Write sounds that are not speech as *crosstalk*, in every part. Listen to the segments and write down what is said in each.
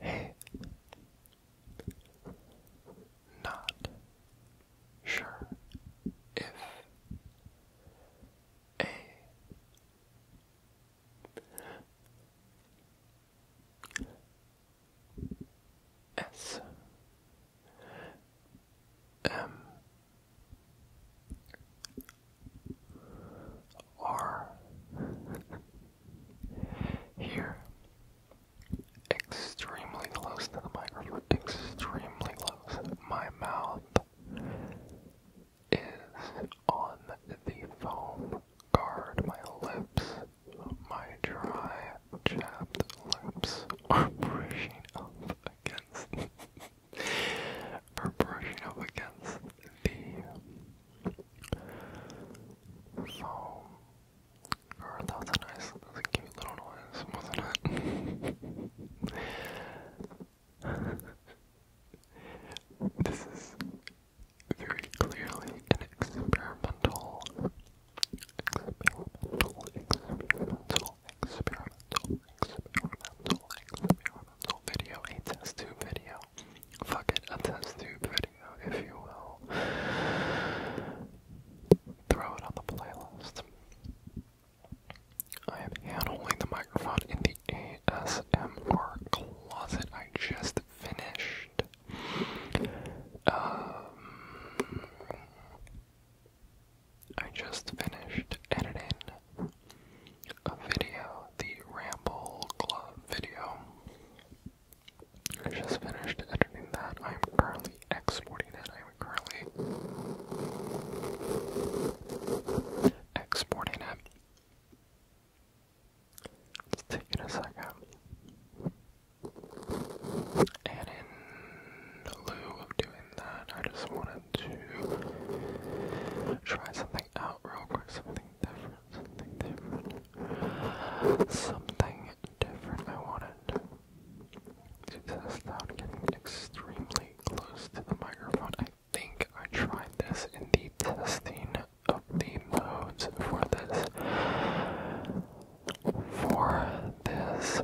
Hey, not sure if a S M are here extremely close to the microphone, extremely close. My mouth is on the foam guard, my lips, my dry, chapped lips are brushing up against, *laughs* are brushing up against the so, or a nice, cute little noise, wasn't it? this is very clearly an experimental, experimental, experimental, experimental, experimental, experimental video, a test tube video fuck it, a test tube video, if you will. Throw it on the playlist. I am hand the microphone in the ASMR closet I just finished. Um, I just finished editing a video, the Ramble Club video. I just finished editing that. I'm currently exporting it. I'm currently exporting it. It's taking a second. And in lieu of doing that, I just wanted to try something out real quick, something something different, I wanted. She says without getting extremely close to the microphone. I think I tried this in the testing of the modes for this. For this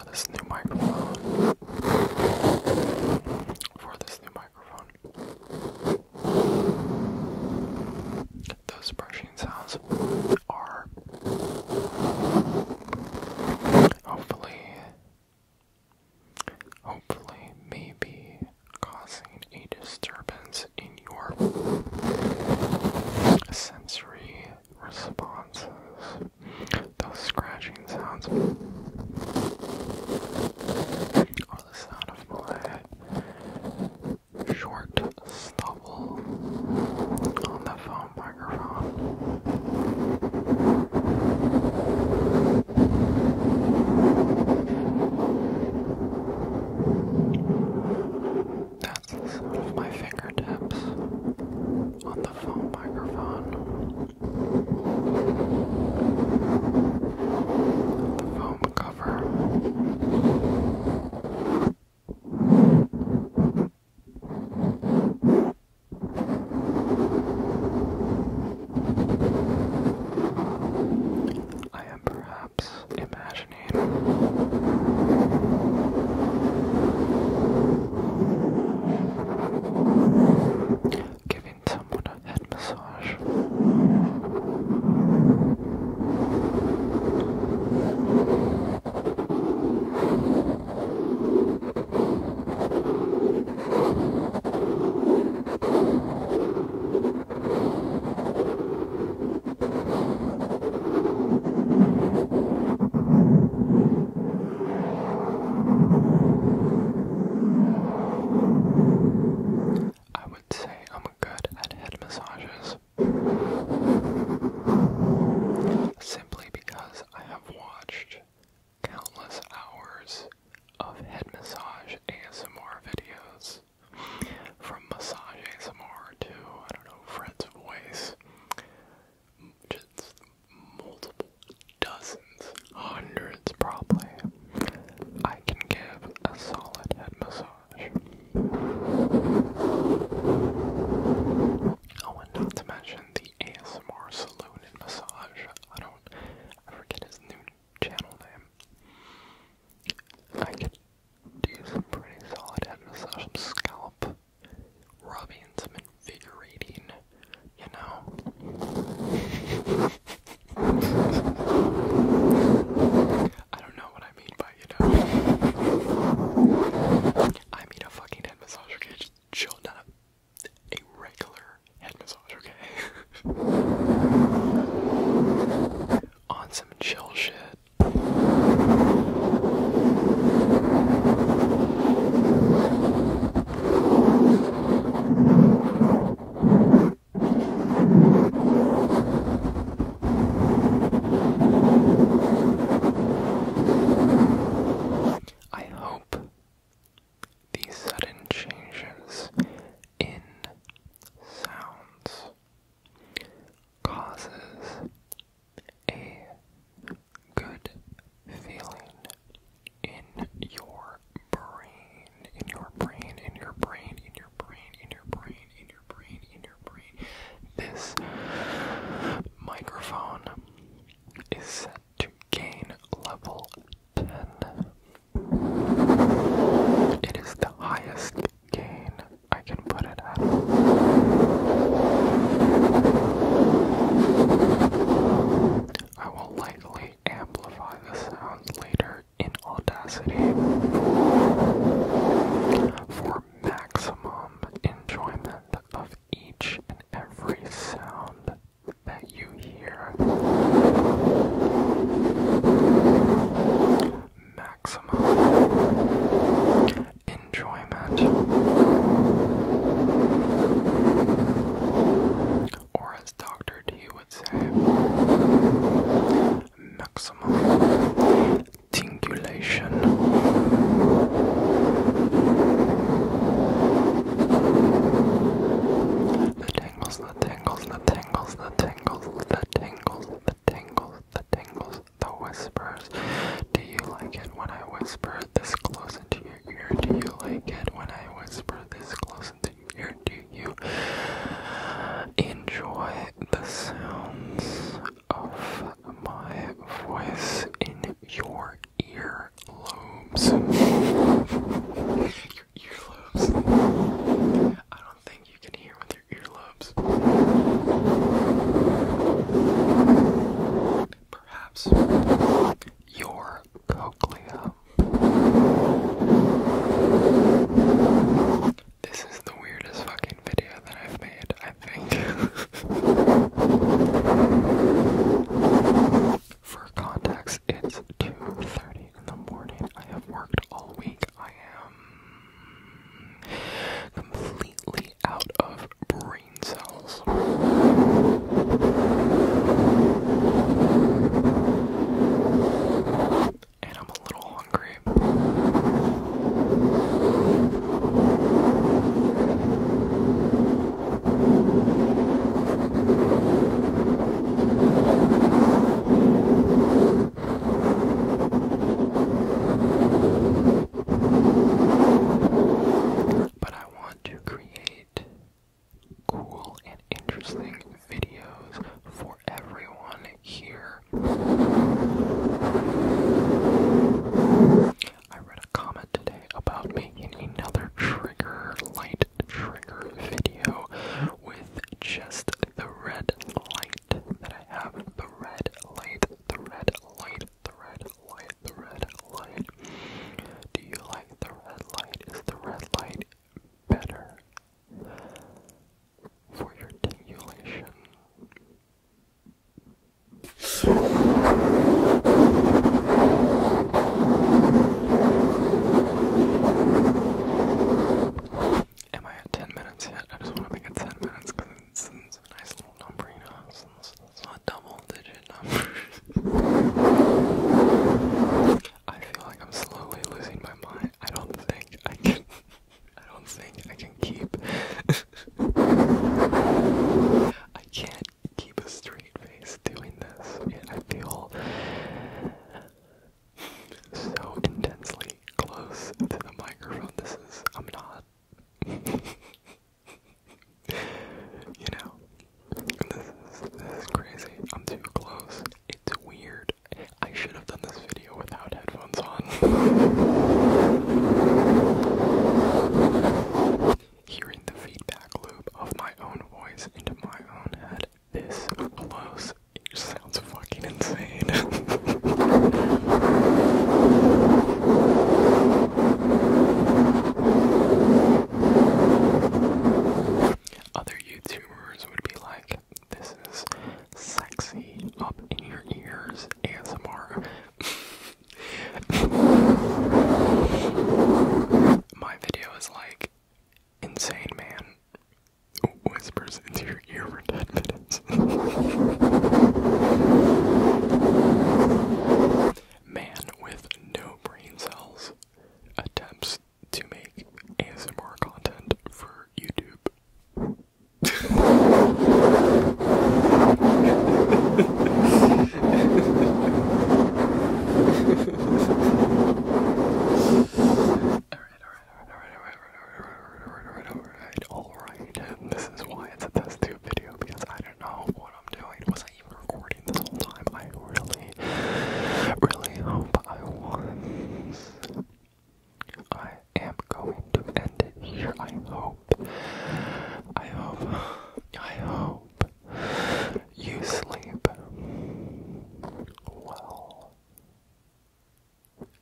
for this new microphone. For this new microphone. Those brushing sounds are hopefully, hopefully, maybe causing a disturbance in your sensory responses, those scratching sounds are the sound of my short stubble on the phone microphone of my fingertips on the phone microphone. The foam cover. I am perhaps imagining Giving someone a head massage. I would say I'm good at head massages simply because I have watched countless hours of head massage ASMR videos from massage ASMR to I don't know Fred's voice just multiple dozens, hundreds probably, I can give a solid head massage. I oh, want not to mention the ASMR Saloon and Massage. I don't, I forget his new channel name. I can do some pretty solid head massage, some scalp rubbing, some invigorating, you know? I don't know what I mean by, you know. I mean a fucking head massage, okay? chill, not a regular head massage, okay? *laughs* On some chill shit, I hope these sudden changes in sounds causes a good feeling in your brain, in your brain, in your brain, in your brain, in your brain, in your brain, in your brain. This microphone is set to gain level 10. It is the highest gain I can put it at. I will likely amplify the sounds later in Audacity for maximum enjoyment of each and every sound that you hear. Maximum enjoyment, or as Dr. D would say, maximum tingulation. The tingles, the tingles, the tingles, the tingles, the tingles, the tingles, the tingles, the whispers. Do you like it when I whisper this close into your ear? Do you like it when I whisper this close into your ear? Do you enjoy the sounds of my voice in your ear lobes? *laughs* your ear I don't think you can hear with your ear Perhaps your cochlea. This is the weirdest fucking video that I've made, I think. *laughs* For context, it's 2.30 in the morning. I have worked all week. I am completely out of brain cells. And I'm a little hungry. But I want to create cool and interesting videos for everyone here. I read a comment today about making another trigger light trigger video with just the red light that I have. The red light, the red light the red light, the red light? Do you like the red light? Is the red light better for your tingulation? Am I at 10 minutes yet? I just want to make it 10 minutes it's, a nice little number, you know. It's, it's not double digit number. *laughs* I feel like I'm slowly losing my mind. I don't think I can. I don't think I can keep. *laughs* I can't keep a straight face doing this. I feel so intensely close to the microphone. This is. I'm not *laughs* you know, this is this is crazy. I'm too close. It's weird. I should have done this video without headphones on. *laughs* Hearing the feedback loop of my own voice into my own head this close it sounds fucking insane. *laughs* Other YouTubers would be like, this is sexy up in your ears ASMR. My video is like, insane man whispers into your ear for 10 minutes. Man with no brain cells attempts to make ASMR content for YouTube. Alright, alright, alright, alright, alright, alright, alright, alright, alright, alright, alright, alright, alright, alright, alright, alright, video because I don't know what I'm doing. Was I even recording this whole time? I really, really hope I I am going to end it here. I hope. I hope. I hope you sleep well.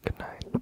Good night.